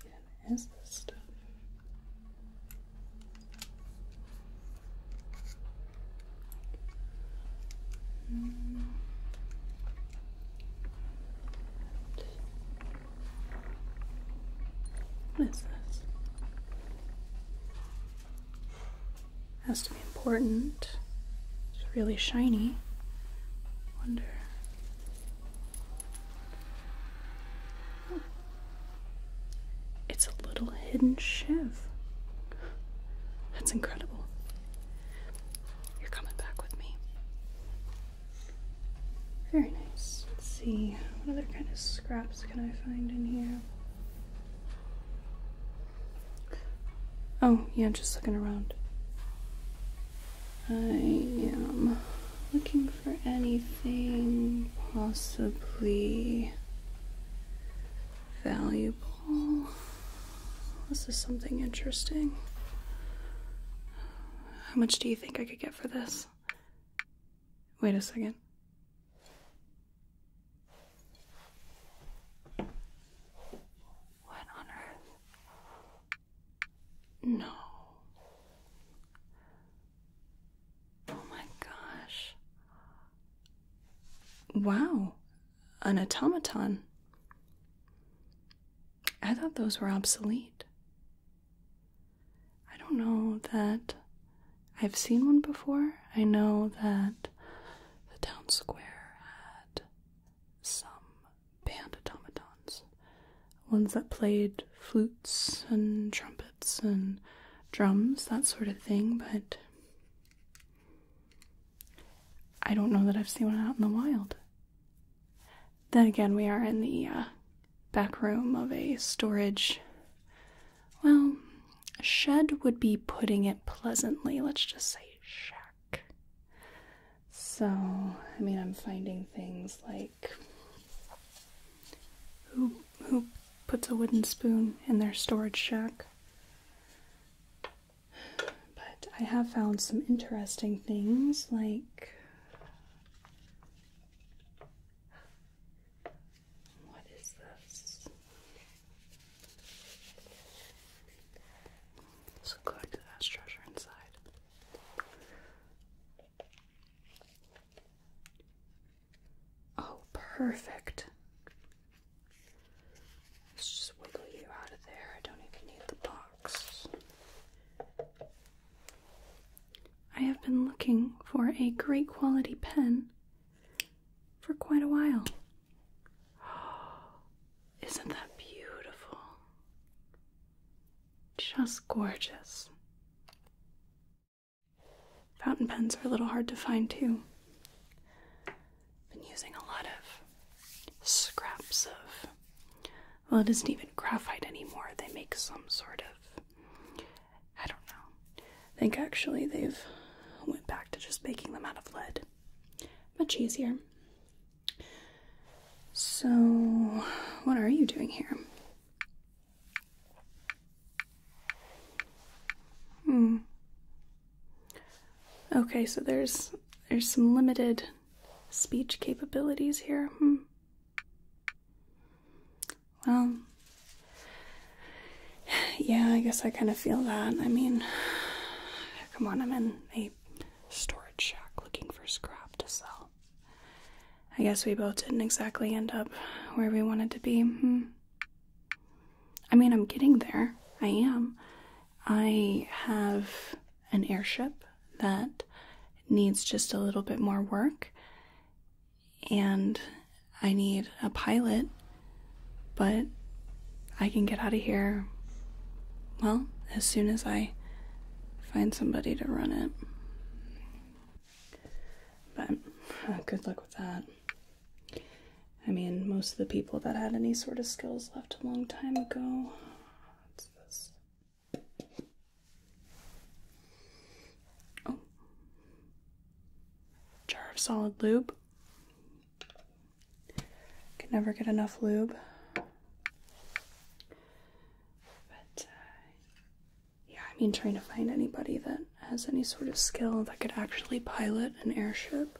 Again, this stuff. Hmm. What is this? Has to be important. It's really shiny. Wonder. It's a little hidden shift. That's incredible. You're coming back with me. Very nice. Let's see, what other kind of scraps can I find in here? Oh, yeah, just looking around. I am looking for anything possibly valuable. This is something interesting. How much do you think I could get for this? Wait a second. What on earth? No. Oh my gosh. Wow, an automaton. I thought those were obsolete. I don't know that I've seen one before. I know that the town square had some band automatons, ones that played flutes and trumpets and drums, that sort of thing, but I don't know that I've seen one out in the wild. Then again, we are in the uh, back room of a storage. Well, shed would be putting it pleasantly. Let's just say shack. So, I mean, I'm finding things like who who puts a wooden spoon in their storage shack. But I have found some interesting things like what is this? So collect the treasure inside. Oh, perfect. Let's just wiggle you out of there. I don't even need the box. I have been looking for a great quality pen for quite a while. Isn't that beautiful? just gorgeous. Fountain pens are a little hard to find too. Been using a lot of scraps of, well, it isn't even graphite anymore. They make some sort of, I don't know. I think actually they've went back to just making them out of lead. Much easier. So, what are you doing here? Hmm. Okay, so there's there's some limited speech capabilities here. Hmm. Well, yeah, I guess I kind of feel that. I mean, come on, I'm in a storage shack looking for scrap to sell. I guess we both didn't exactly end up where we wanted to be. Hmm. I mean, I'm getting there. I am. I have an airship that needs just a little bit more work, and I need a pilot, but I can get out of here, well, as soon as I find somebody to run it. But uh, good luck with that. I mean, most of the people that had any sort of skills left a long time ago. Oh. Jar of solid lube. Can never get enough lube. But uh, yeah, I mean, trying to find anybody that has any sort of skill that could actually pilot an airship.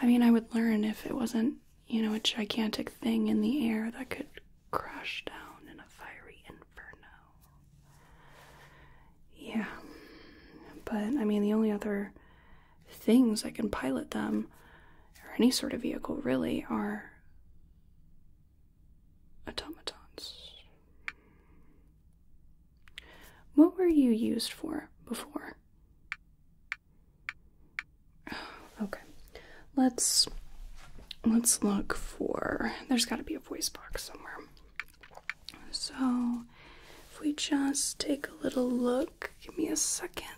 I mean, I would learn if it wasn't, you know, a gigantic thing in the air that could crash down in a fiery inferno. Yeah. But I mean, the only other things I can pilot them, or any sort of vehicle really, are automatons. What were you used for before? Okay. Let's let's look for there's got to be a voice box somewhere. So, if we just take a little look, give me a second.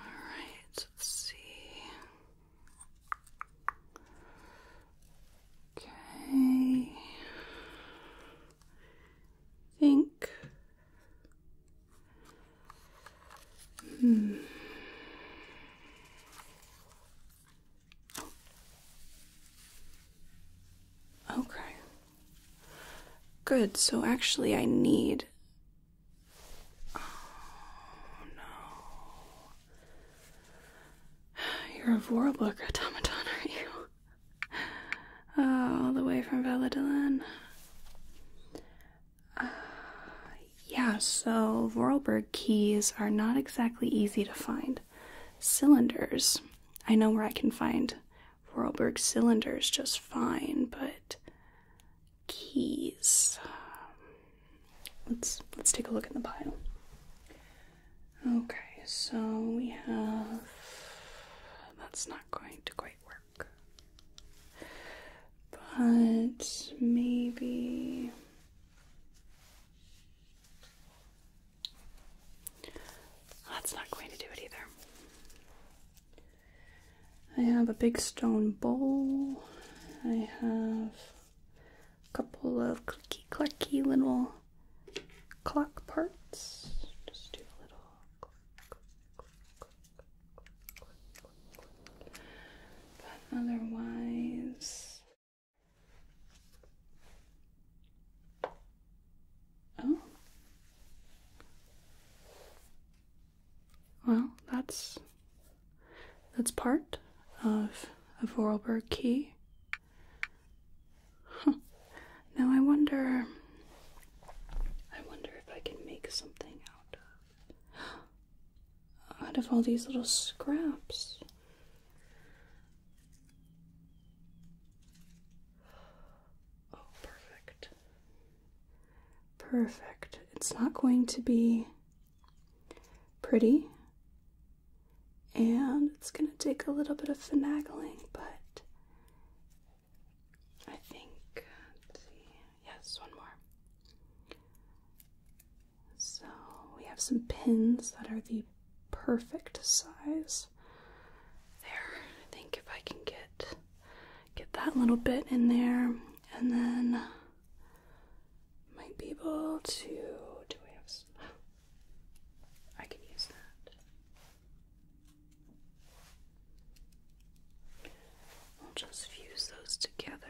Alright, let's see. Okay. Think. Hmm. Okay. Good. So actually, I need Oh no. You're a Vorlberg automaton, are you? Oh, all the way from Valladolid. Uh, yeah, so Vorlberg keys are not exactly easy to find. Cylinders. I know where I can find Vorlberg cylinders just fine, but keys. Let's let's take a look in the pile. Okay, so we have that's not going to quite work. But maybe that's not going to do it either. I have a big stone bowl. I have a couple of clicky clacky little clock parts. Just do a little But otherwise, oh, well, that's that's part of a Vorlberg key. Now I wonder I wonder if I can make something out of out of all these little scraps. Oh, perfect. Perfect. It's not going to be pretty, and it's going to take a little bit of finagling, but I think, yes, one more. So we have some pins that are the perfect size. There, I think if I can get get that little bit in there, and then uh, might be able to. Do I can use that. We'll just fuse those together.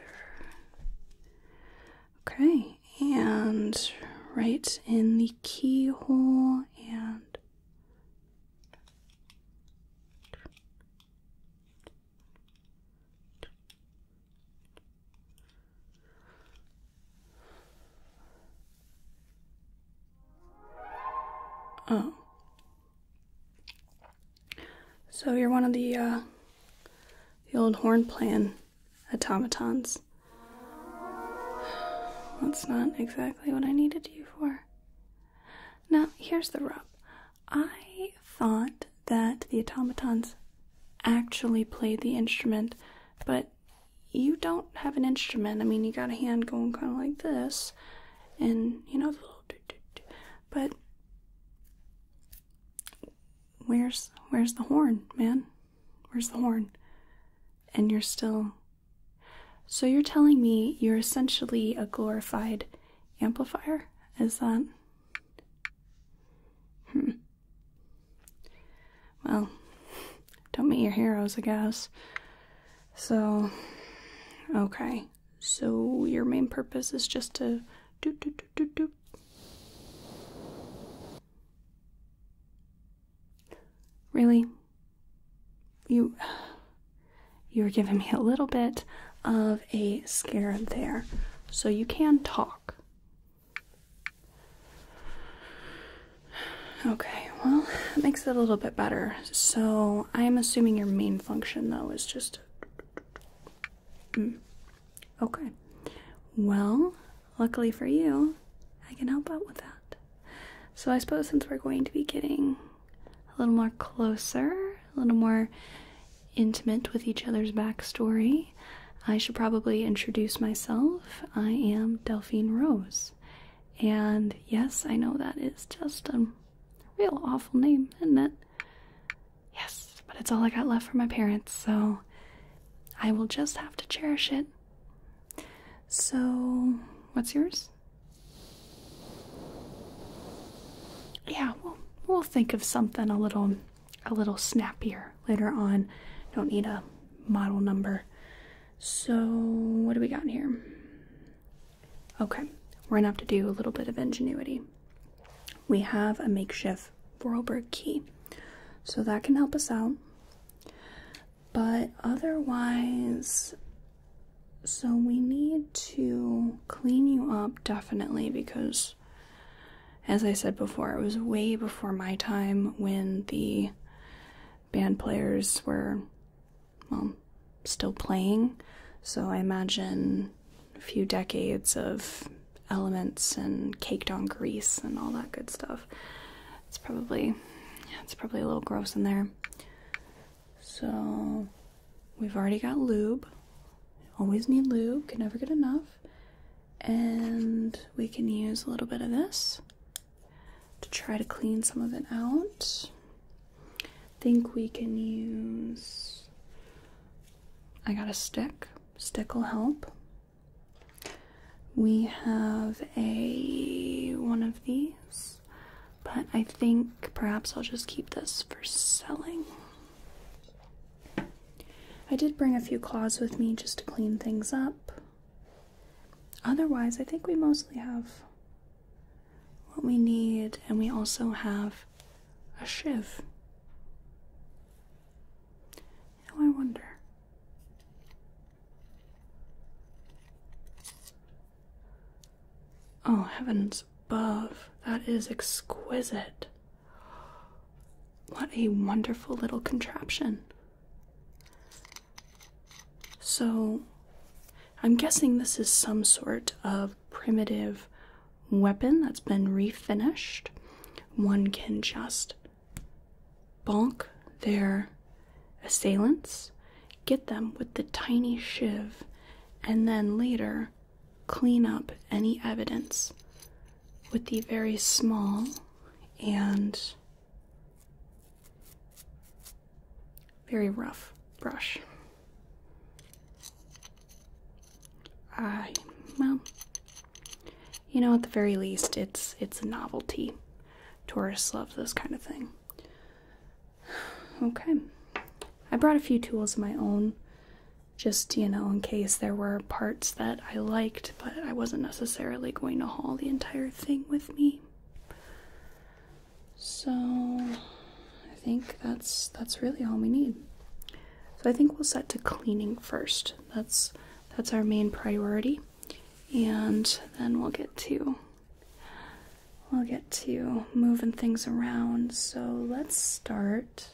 Okay, and right in the keyhole and Oh. So you're one of the uh, the old horn plan automatons. That's not exactly what I needed you for. Now, here's the rub. I thought that the automatons actually played the instrument, but you don't have an instrument. I mean, you got a hand going kind of like this, and you know, but where's where's the horn, man? Where's the horn? And you're still. So you're telling me you're essentially a glorified amplifier? Is that. Hmm. Well, don't meet your heroes, I guess. So, okay. So, your main purpose is just to do, do, do, do, do. Really? You. You're giving me a little bit of a scarab there. So you can talk. Okay, well, that makes it a little bit better. So I'm assuming your main function, though, is just. Mm. Okay. Well, luckily for you, I can help out with that. So I suppose since we're going to be getting a little more closer, a little more intimate with each other's backstory, I should probably introduce myself. I am Delphine Rose. And yes, I know that is just a real awful name, isn't it? Yes, but it's all I got left from my parents, so I will just have to cherish it. So, what's yours? Yeah, we'll we'll think of something a little a little snappier later on. Don't need a model number. So what do we got here? Okay, we're gonna have to do a little bit of ingenuity. We have a makeshift Vorlberg key, so that can help us out. But otherwise, so we need to clean you up definitely because, as I said before, it was way before my time when the band players were, well, still playing. So I imagine a few decades of elements and caked on grease and all that good stuff. It's probably, it's probably a little gross in there. So we've already got lube. Always need lube, can never get enough. And we can use a little bit of this to try to clean some of it out. I think we can use. I got a stick. Stick will help. We have a one of these but I think perhaps I'll just keep this for selling. I did bring a few claws with me just to clean things up. Otherwise, I think we mostly have what we need, and we also have a shiv. Now I wonder. Oh, heavens above, that is exquisite. What a wonderful little contraption. So, I'm guessing this is some sort of primitive weapon that's been refinished. One can just bonk their assailants, get them with the tiny shiv, and then later clean up any evidence with the very small and very rough brush. I well, you know, at the very least, it's it's a novelty. Tourists love this kind of thing. Okay. I brought a few tools of my own, just, you know, in case there were parts that I liked, but I wasn't necessarily going to haul the entire thing with me. So, I think that's that's really all we need. So I think we'll set to cleaning first. That's that's our main priority. And then we'll get to we'll get to moving things around. So let's start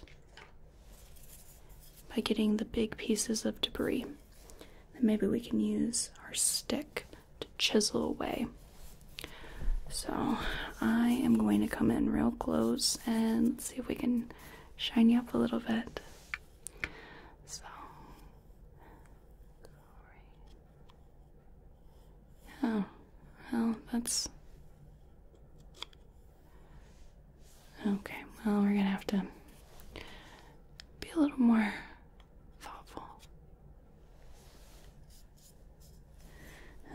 by getting the big pieces of debris. Then maybe we can use our stick to chisel away. So I am going to come in real close and see if we can shine you up a little bit. So, glory. Well, that's. Okay, well, we're gonna have to be a little more thoughtful.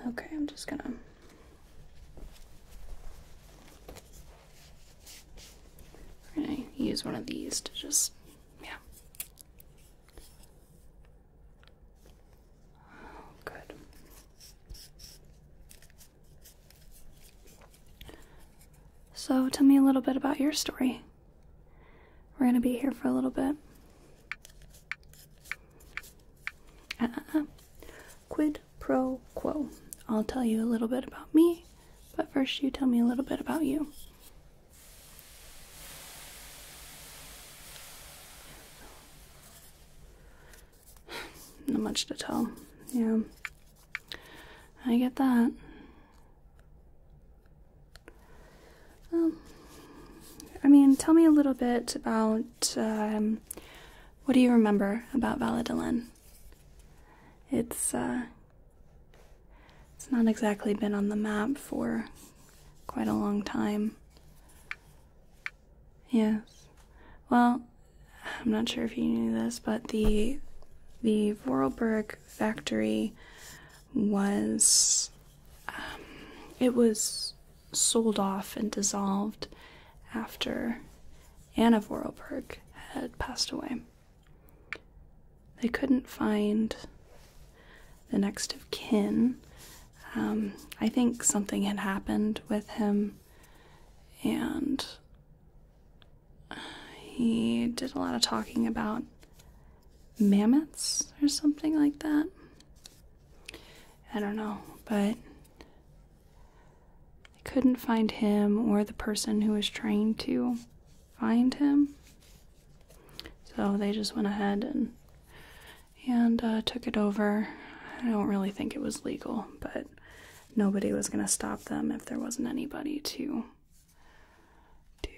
Okay, I'm just gonna. use one of these to just, yeah good. So, tell me a little bit about your story. We're gonna be here for a little bit. Uh, quid pro quo. I'll tell you a little bit about me, but first, you tell me a little bit about you. Not much to tell. Yeah. I get that. I mean, tell me a little bit about um, what do you remember about Valadolin? It's uh, it's not exactly been on the map for quite a long time. Yes. Well, I'm not sure if you knew this, but the the Vorarlberg factory was um, it was sold off and dissolved after Anna Vorarlberg had passed away. They couldn't find the next of kin um, I think something had happened with him, and he did a lot of talking about mammoths or something like that. I don't know, but they couldn't find him or the person who was trying to find him. So they just went ahead and and uh, took it over. I don't really think it was legal, but nobody was going to stop them if there wasn't anybody to to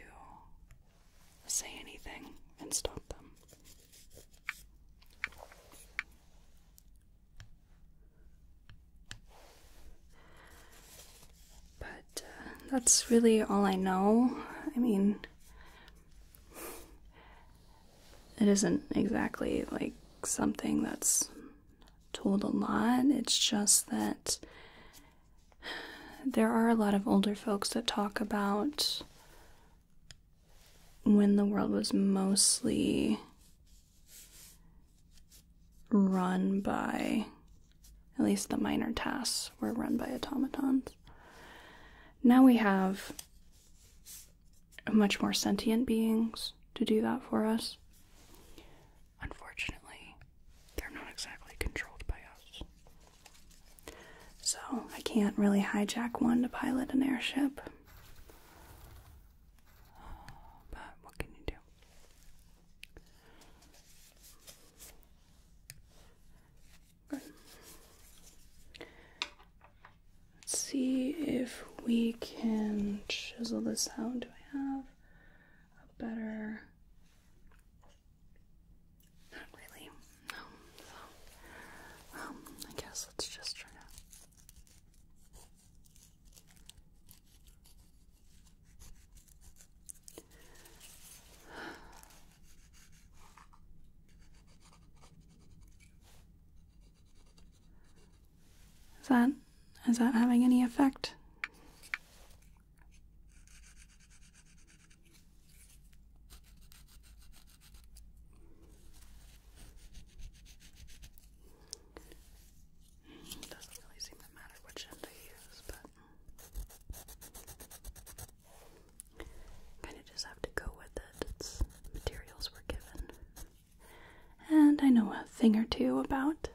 say anything and stop them. But uh, that's really all I know. I mean, it isn't exactly like something that's told a lot. It's just that there are a lot of older folks that talk about when the world was mostly run by, at least the minor tasks were run by automatons. Now we have much more sentient beings to do that for us. Unfortunately, they're not exactly controlled by us. So I can't really hijack one to pilot an airship. But what can you do? Let's see if we can chisel this out. Do I have a better. Not really. No. um, I guess let's just try to. Is that is that having any effect? It doesn't really seem to matter which end I use, but Kind of just have to go with it. materials were given. And I know a thing or two about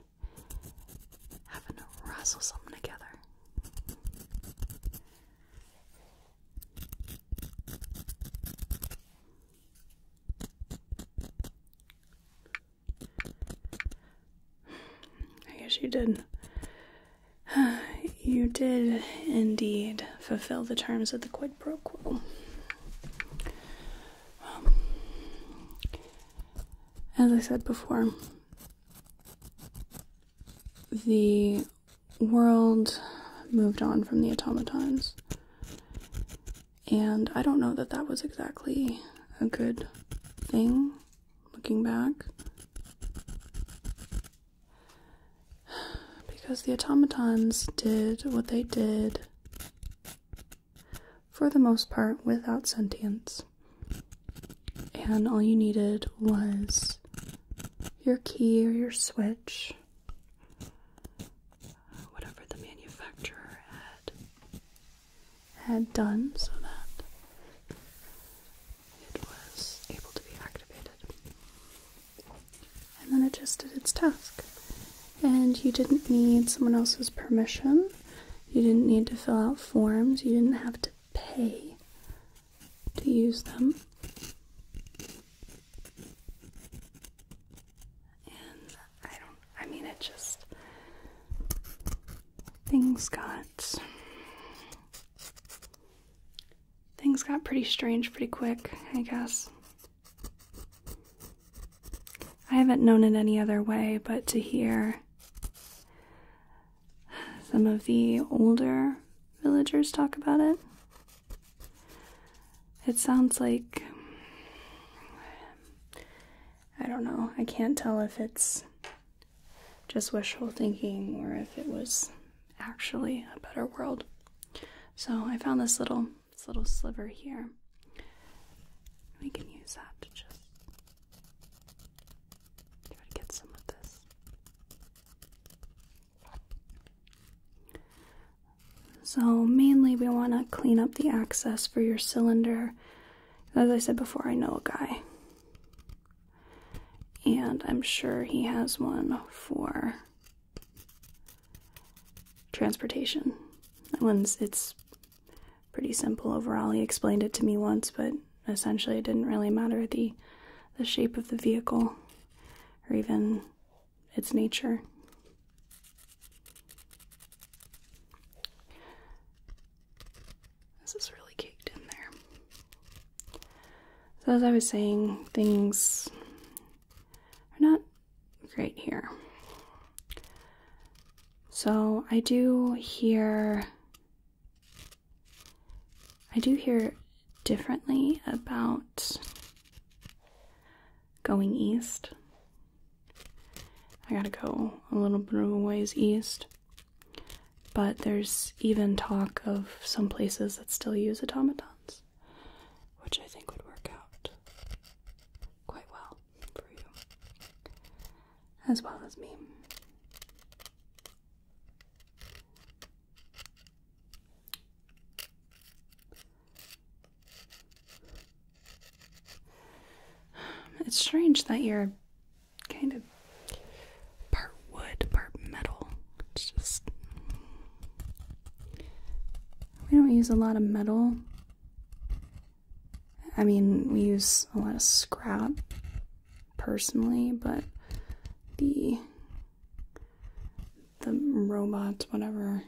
having to wrestle something together. I guess you did You did indeed fulfill the terms of the quid pro quo. Um, as I said before, the world moved on from the automatons, and I don't know that that was exactly a good thing looking back because the automatons did what they did for the most part without sentience. And all you needed was your key or your switch, whatever the manufacturer had had done so that it was able to be activated and then it just did its task. And you didn't need someone else's permission, you didn't need to fill out forms, you didn't have to pay to use them. And I don't, I mean, it just. Things got things got pretty strange pretty quick, I guess. I haven't known it any other way but to hear some of the older villagers talk about it. It sounds like. I don't know. I can't tell if it's just wishful thinking or if it was actually a better world. So I found this little this little sliver here. We can use that to just get some of this. So mainly we want to clean up the access for your cylinder. As I said before, I know a guy. And I'm sure he has one for transportation. That one's it's pretty simple overall. He explained it to me once, but essentially it didn't really matter the the shape of the vehicle or even its nature. This is really caked in there. So, as I was saying, things are not great here. So, I do hear. I do hear differently about going east. I gotta go a little bit of a ways east. But there's even talk of some places that still use automatons which I think would work out quite well for you, as well as me. It's strange that you're kind of part wood, part metal. It's just we don't use a lot of metal. I mean, we use a lot of scrap personally, but the the robots, whatever,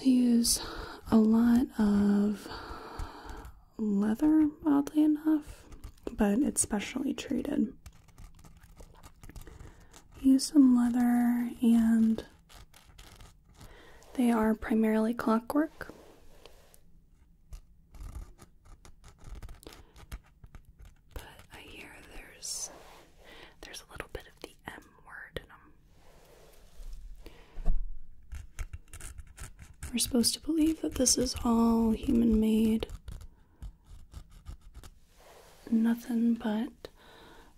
use a lot of leather, oddly enough, but it's specially treated. Use some leather, and they are primarily clockwork. But I hear there's there's a little bit of the M word in them. We're supposed to believe that this is all human made nothing but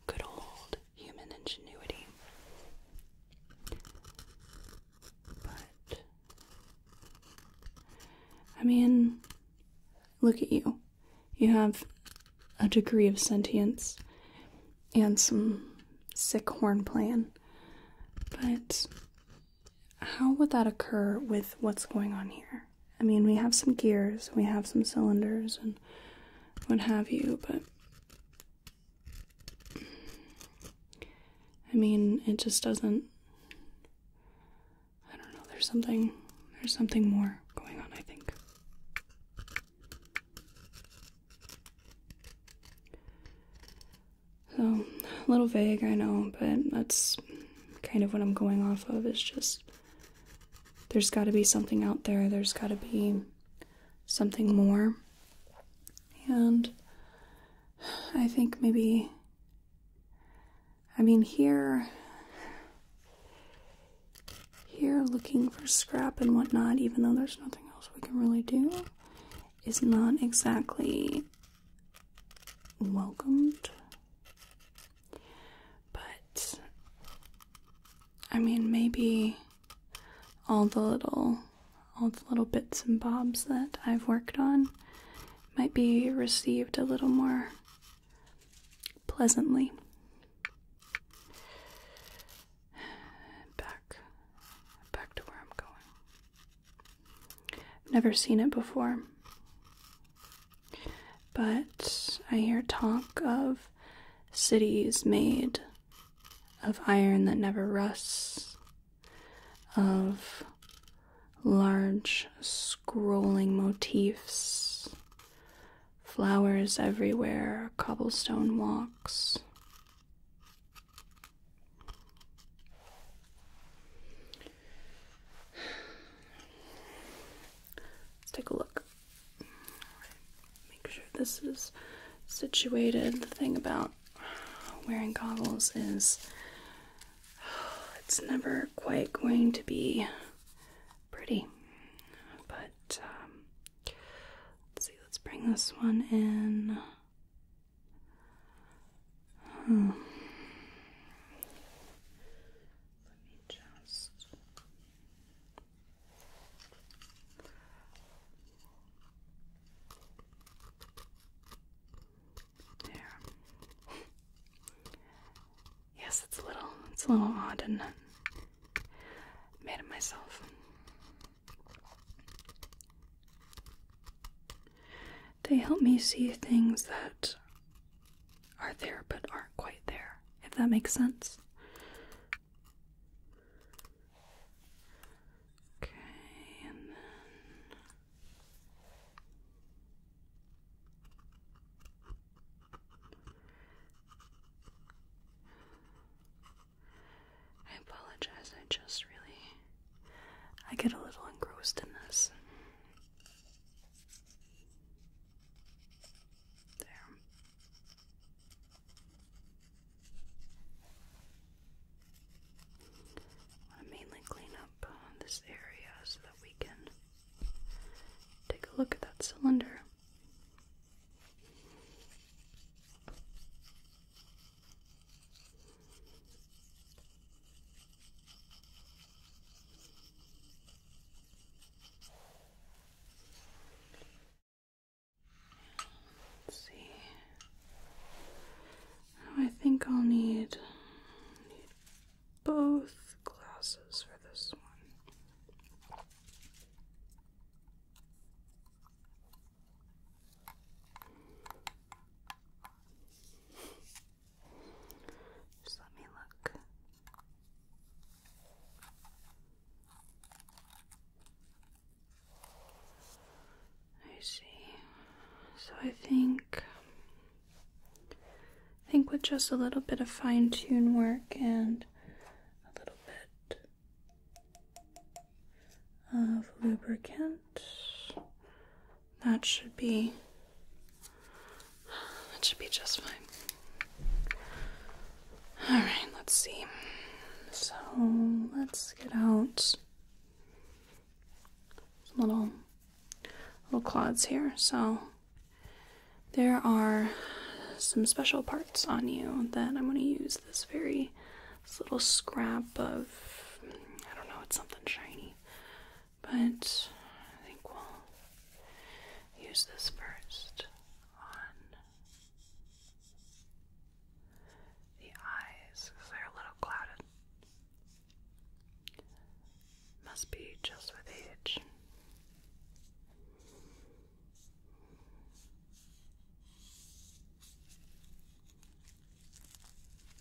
good old human ingenuity. But, I mean, look at you. You have a degree of sentience and some sick horn plan, but how would that occur with what's going on here? I mean, we have some gears, we have some cylinders, and what have you, but I mean, it just doesn't. I don't know. There's something. There's something more going on. I think. So, a little vague, I know, but that's kind of what I'm going off of is just there's got to be something out there, there's got to be something more. And I think maybe, I mean, here, here looking for scrap and whatnot, even though there's nothing else we can really do, is not exactly welcomed. But I mean, maybe all the little all the little bits and bobs that I've worked on might be received a little more pleasantly. Back back to where I'm going. Never seen it before. But I hear talk of cities made of iron that never rusts, of large scrolling motifs, flowers everywhere, cobblestone walks. Let's take a look. Make sure this is situated. The thing about wearing goggles is it's never quite going to be pretty. But um, let's see, let's bring this one in. Hmm. Let me just. There. Yes, it's a little, it's a little odd and made it myself they help me see things that are there but aren't quite there, if that makes sense. Okay, and then. I apologize, I just really. I get a little engrossed in this. I mainly clean up uh, this area so that we can take a look at that cylinder see. I think I'll need both glasses for this one. Just let me look. I see. So I think I think with just a little bit of fine tune work and a little bit of lubricant that should be that should be just fine. All right, let's see. So, let's get out little little clods here. So, there are some special parts on you that I'm going to use this very little scrap of I don't know, it's something shiny. But I think we'll use this first on the eyes because they're a little clouded. Must be just with age.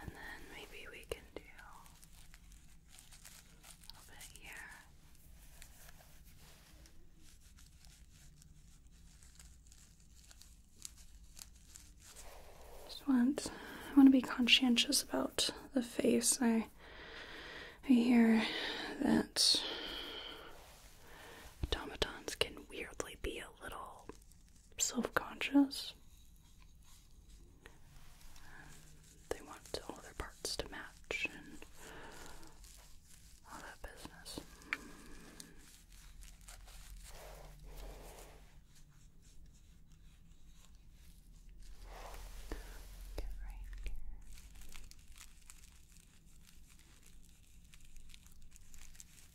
And then maybe we can do a bit here. Just want I want to be conscientious about the face. I I hear that automatons can weirdly be a little self conscious. They want all their parts to match and all that business.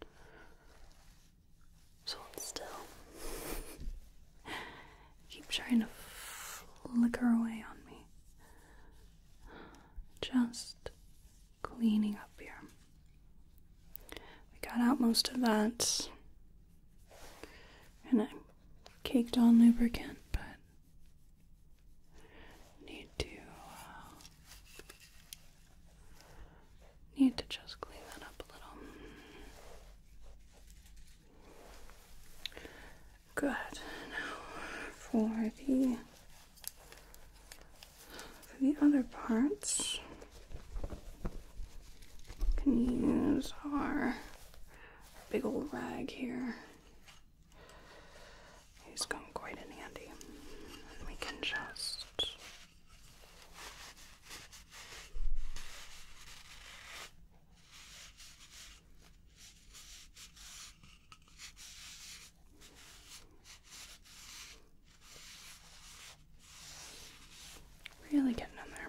Good. So hold still. Keep trying to flicker away on me. Just cleaning up here. We got out most of that. And I caked on lubricant, but need to uh, Need to just clean that up a little. Good. Now for the for the other parts, can use our big old rag here. He's come quite in handy. We can just really getting in there.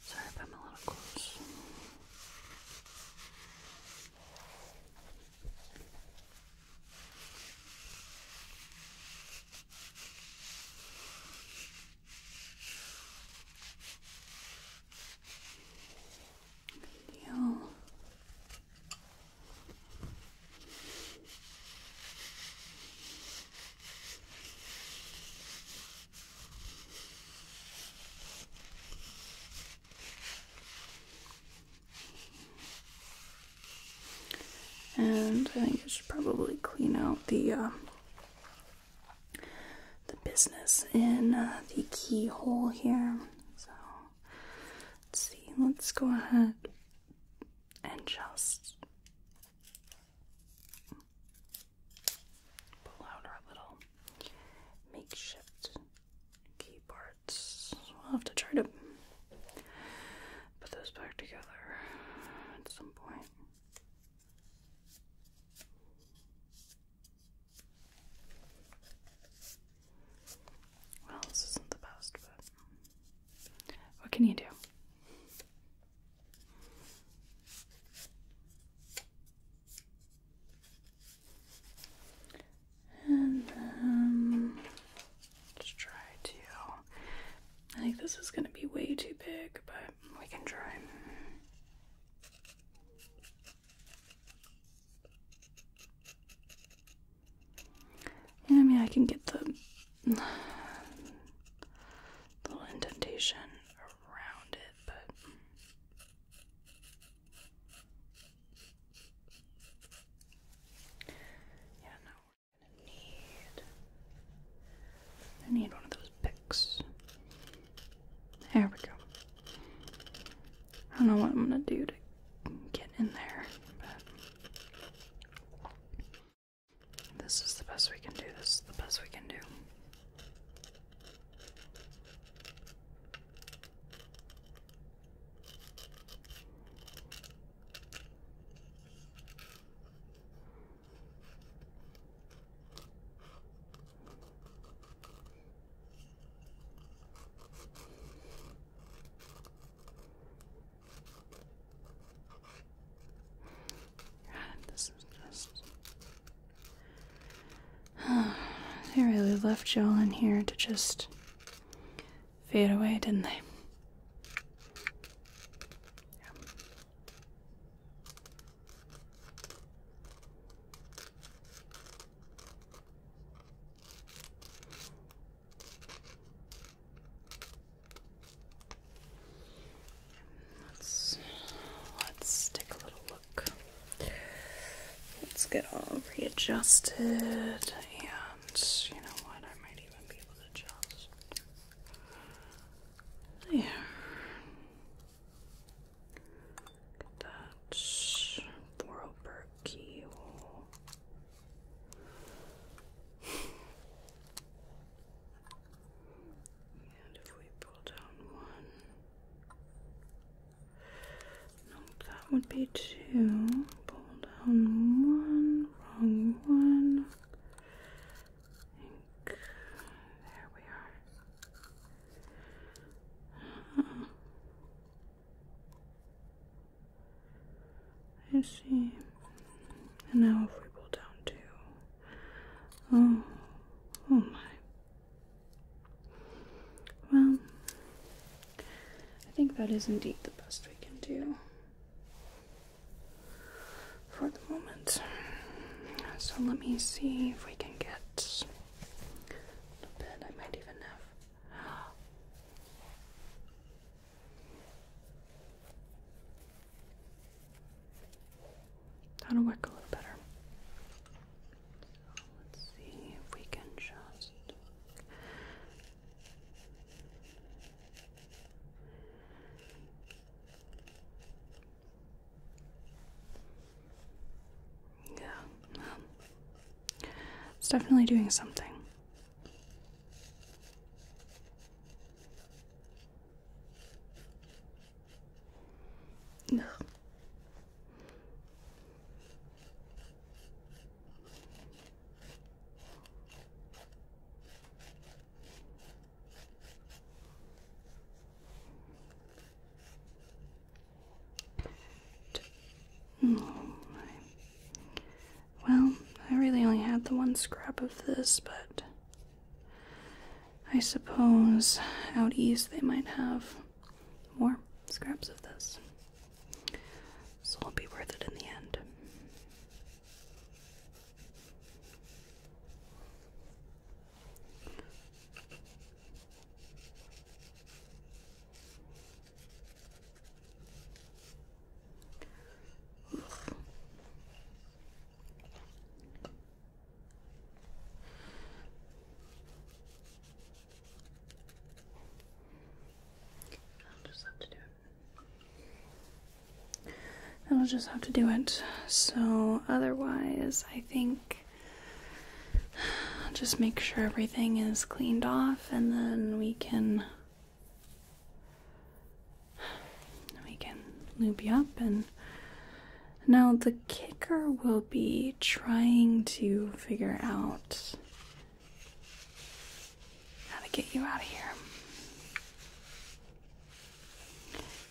Sorry if I'm a little close. Deal. And I think I should probably clean out the uh, the business in uh, the keyhole here. So let's see. Let's go ahead and just pull out our little makeshift keyboards. We'll have to try to put those back together at some point. Well, this isn't the best, but what can you do? And um, let try to. I think this is going to be way too big, but we can try. Yeah, I mean, I can get the little indentation around it, but yeah, now we need. I need one of those picks. There we go. I don't know what I'm gonna do to get in there, but this is the best we can do. This is the best we can do. And this is just they really left y'all in here to just fade away, didn't they? Let's let's take a little Let's get all readjusted, and you know what? I might even be able to adjust. There. Get that. Borough keyhole if we pull down one, no, that would be two. Pull down one, wrong one. there we are. Uh-huh. I see. And now if we pull down two, oh, oh my well, I think that is indeed the best we can do for the moment. So let me see if we can get a little I might even have. That'll work a little better. let's see if we can just. Yeah, um, it's definitely doing something well, I really only had the one scrap of this, but I suppose out east they might have more scraps of this. So it'll be worth it in the end. I'll just have to do it. I'll just have to do it. So, otherwise, I think just make sure everything is cleaned off and then we can we can loop you up and now, the kicker will be trying to figure out how to get you out of here.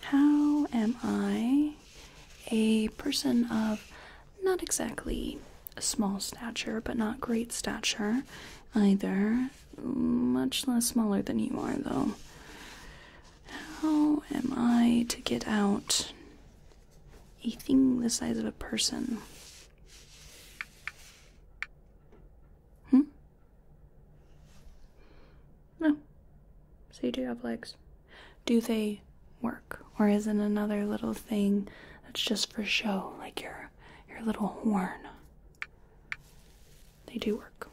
How am I, a person of not exactly small stature, but not great stature either, much less smaller than you are, though? How am I to get out a thing the size of a person? Hmm? No. So you do have legs. Do they work? Or is it another little thing that's just for show, like your your little horn? They do work.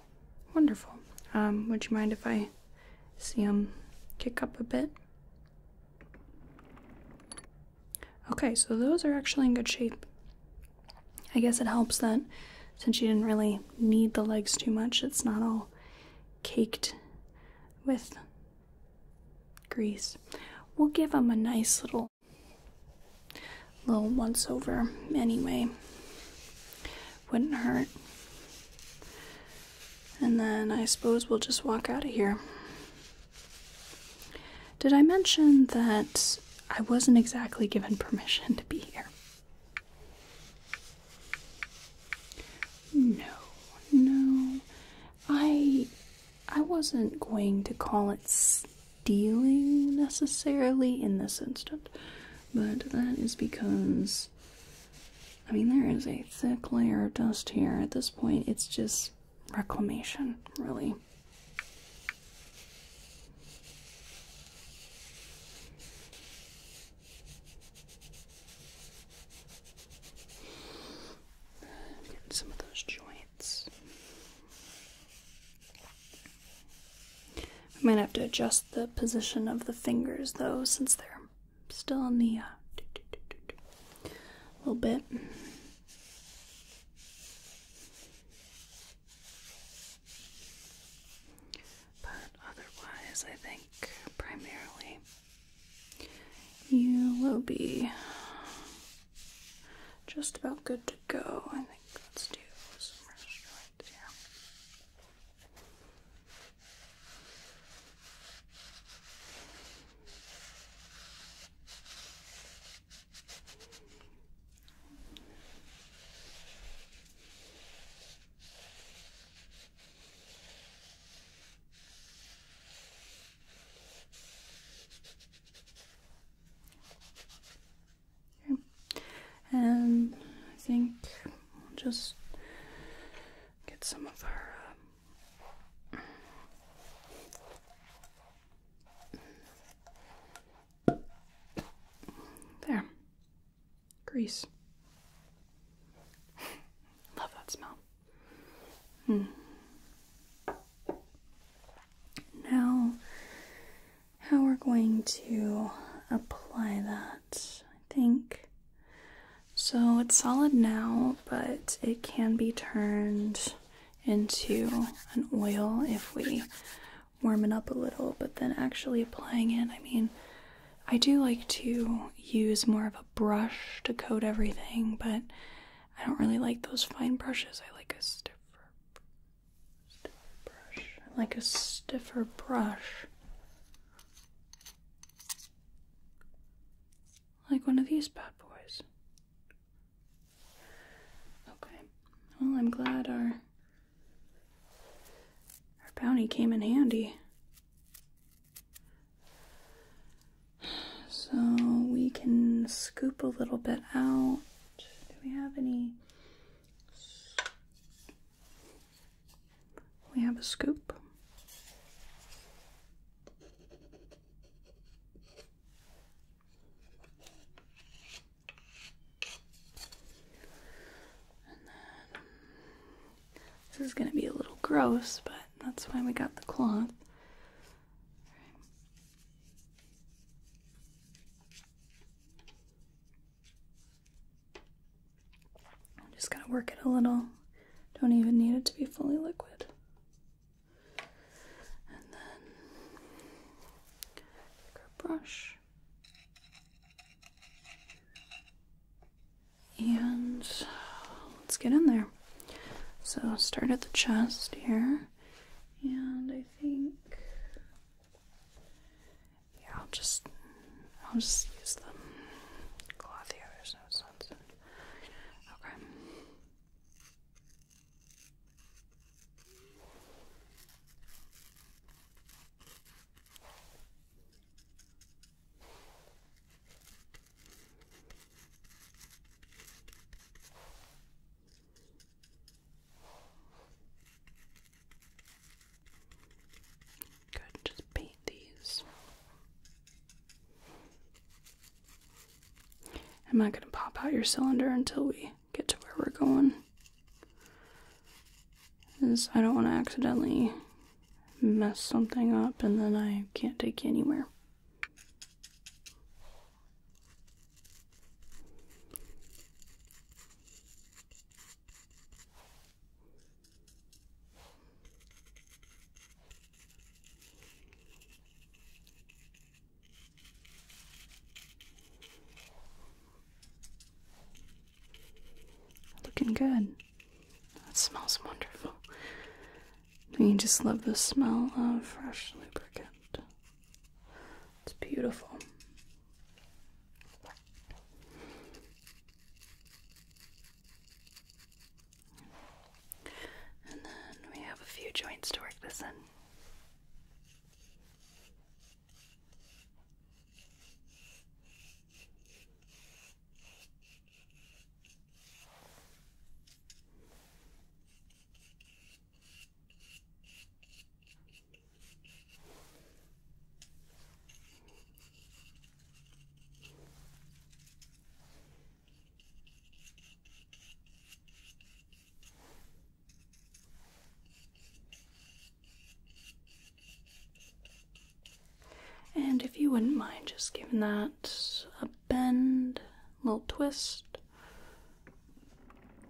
Wonderful. Um, would you mind if I See them kick up a bit. Okay, so those are actually in good shape. I guess it helps that since you didn't really need the legs too much, it's not all caked with grease. We'll give them a nice little little once over anyway wouldn't hurt. And then I suppose we'll just walk out of here. Did I mention that I wasn't exactly given permission to be here? No, no. I I wasn't going to call it stealing necessarily in this instant, but that is because I mean, there is a thick layer of dust here. At this point, it's just reclamation, really. Get some of those joints. I might have to adjust the position of the fingers though, since they're still in the uh, little bit. But otherwise, I think primarily you will be just about good to go. I think let's do some rest right and I think just get some of our um, there. Grease. Love that smell. Hmm. Now, how we're going to apply that, I think so it's solid now, but it can be turned into an oil if we warm it up a little, but then actually applying it, I mean, I do like to use more of a brush to coat everything, but I don't really like those fine brushes. I like a stiffer, brush. like a stiffer brush. Like one of these bad boys. Okay. Well, I'm glad our our bounty came in handy. So we can scoop a little bit out. Do we have any we have a scoop. this is going to be a little gross, but that's why we got the cloth. I'm just going to work it a little. Don't even need it to be fully liquid. And then brush. And let's get in there. So start at the chest here. And I think, yeah, I'll just I'll just use the cloth here, there's no sense Okay. Go just paint these. I'm not going to pop out your cylinder until we get to where we're going. Because I don't want to accidentally mess something up and then I can't take you anywhere. Looking good. That smells wonderful. You just love the smell of fresh lubricant. It's beautiful. And then we have a few joints to work this in. And if you wouldn't mind just giving that a bend, little twist.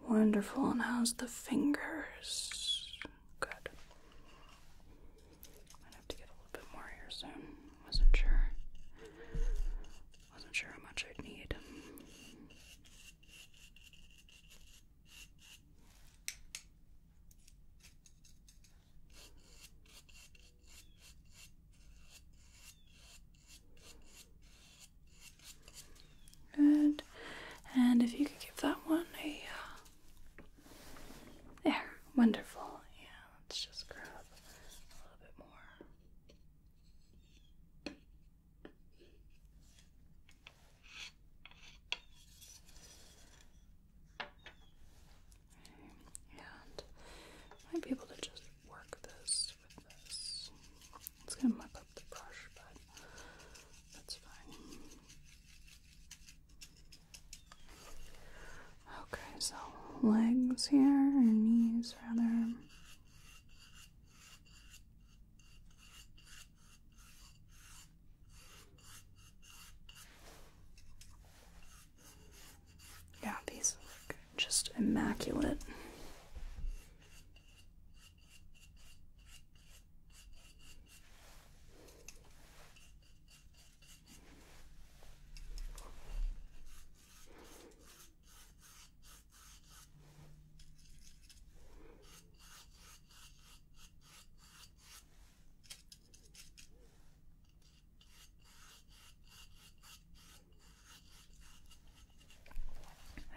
Wonderful. And how's the fingers? Good. Might have to get a little bit more here soon. Wasn't sure. Wasn't sure how much I'd need. Good. And if you could give that one a uh, there, wonderful. Yeah, let's just grab a little bit more. And might be able to just work this with this. It's gonna muck up the brush, but that's fine. Okay, so legs here, or knees rather. Yeah, these look just immaculate.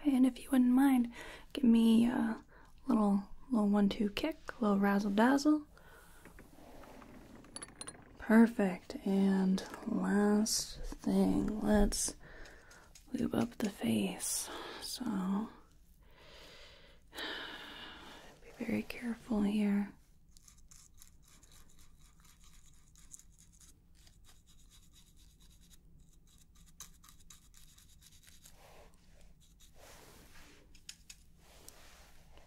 And if you wouldn't mind, give me a little little one-two kick, a little razzle dazzle. Perfect. And last thing, let's lube up the face. So be very careful here.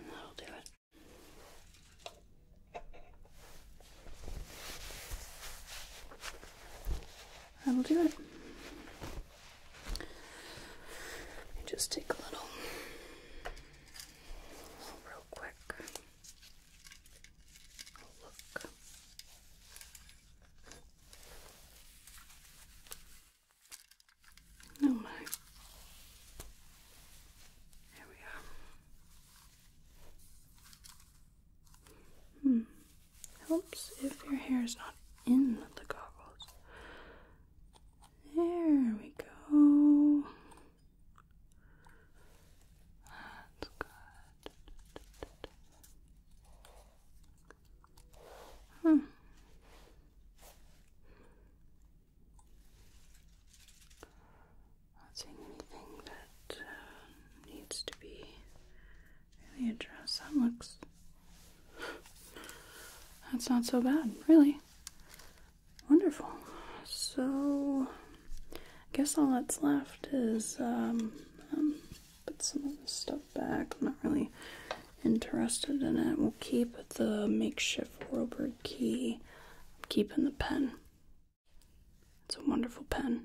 And that'll do it. That'll do it. Just take a little, real quick look. Oh my. There we are. Hmm. Helps if your hair is not in the goggles. There we go. That's good. Hmm not seeing anything that um, needs to be really addressed. That looks. That's not so bad, really. Wonderful. So, I guess all that's left is um, um, put some of this stuff back. I'm not really interested in it. We'll keep the makeshift Robert key. I'm keeping the pen. It's a wonderful pen.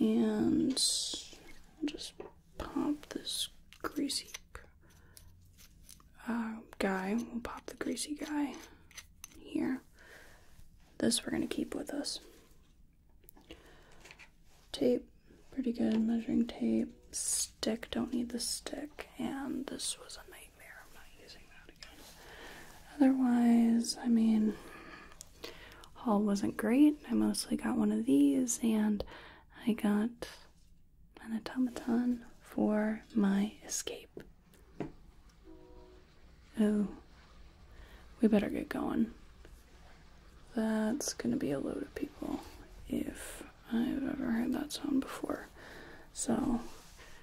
And just pop this greasy uh, guy. We'll pop the greasy guy here. This we're going to keep with us. Tape, pretty good. Measuring tape. Stick, don't need the stick. And this was a nice. Otherwise, I mean, haul wasn't great. I mostly got one of these, and I got an automaton for my escape. Oh, we better get going. That's gonna be a load of people if I've ever heard that song before. So,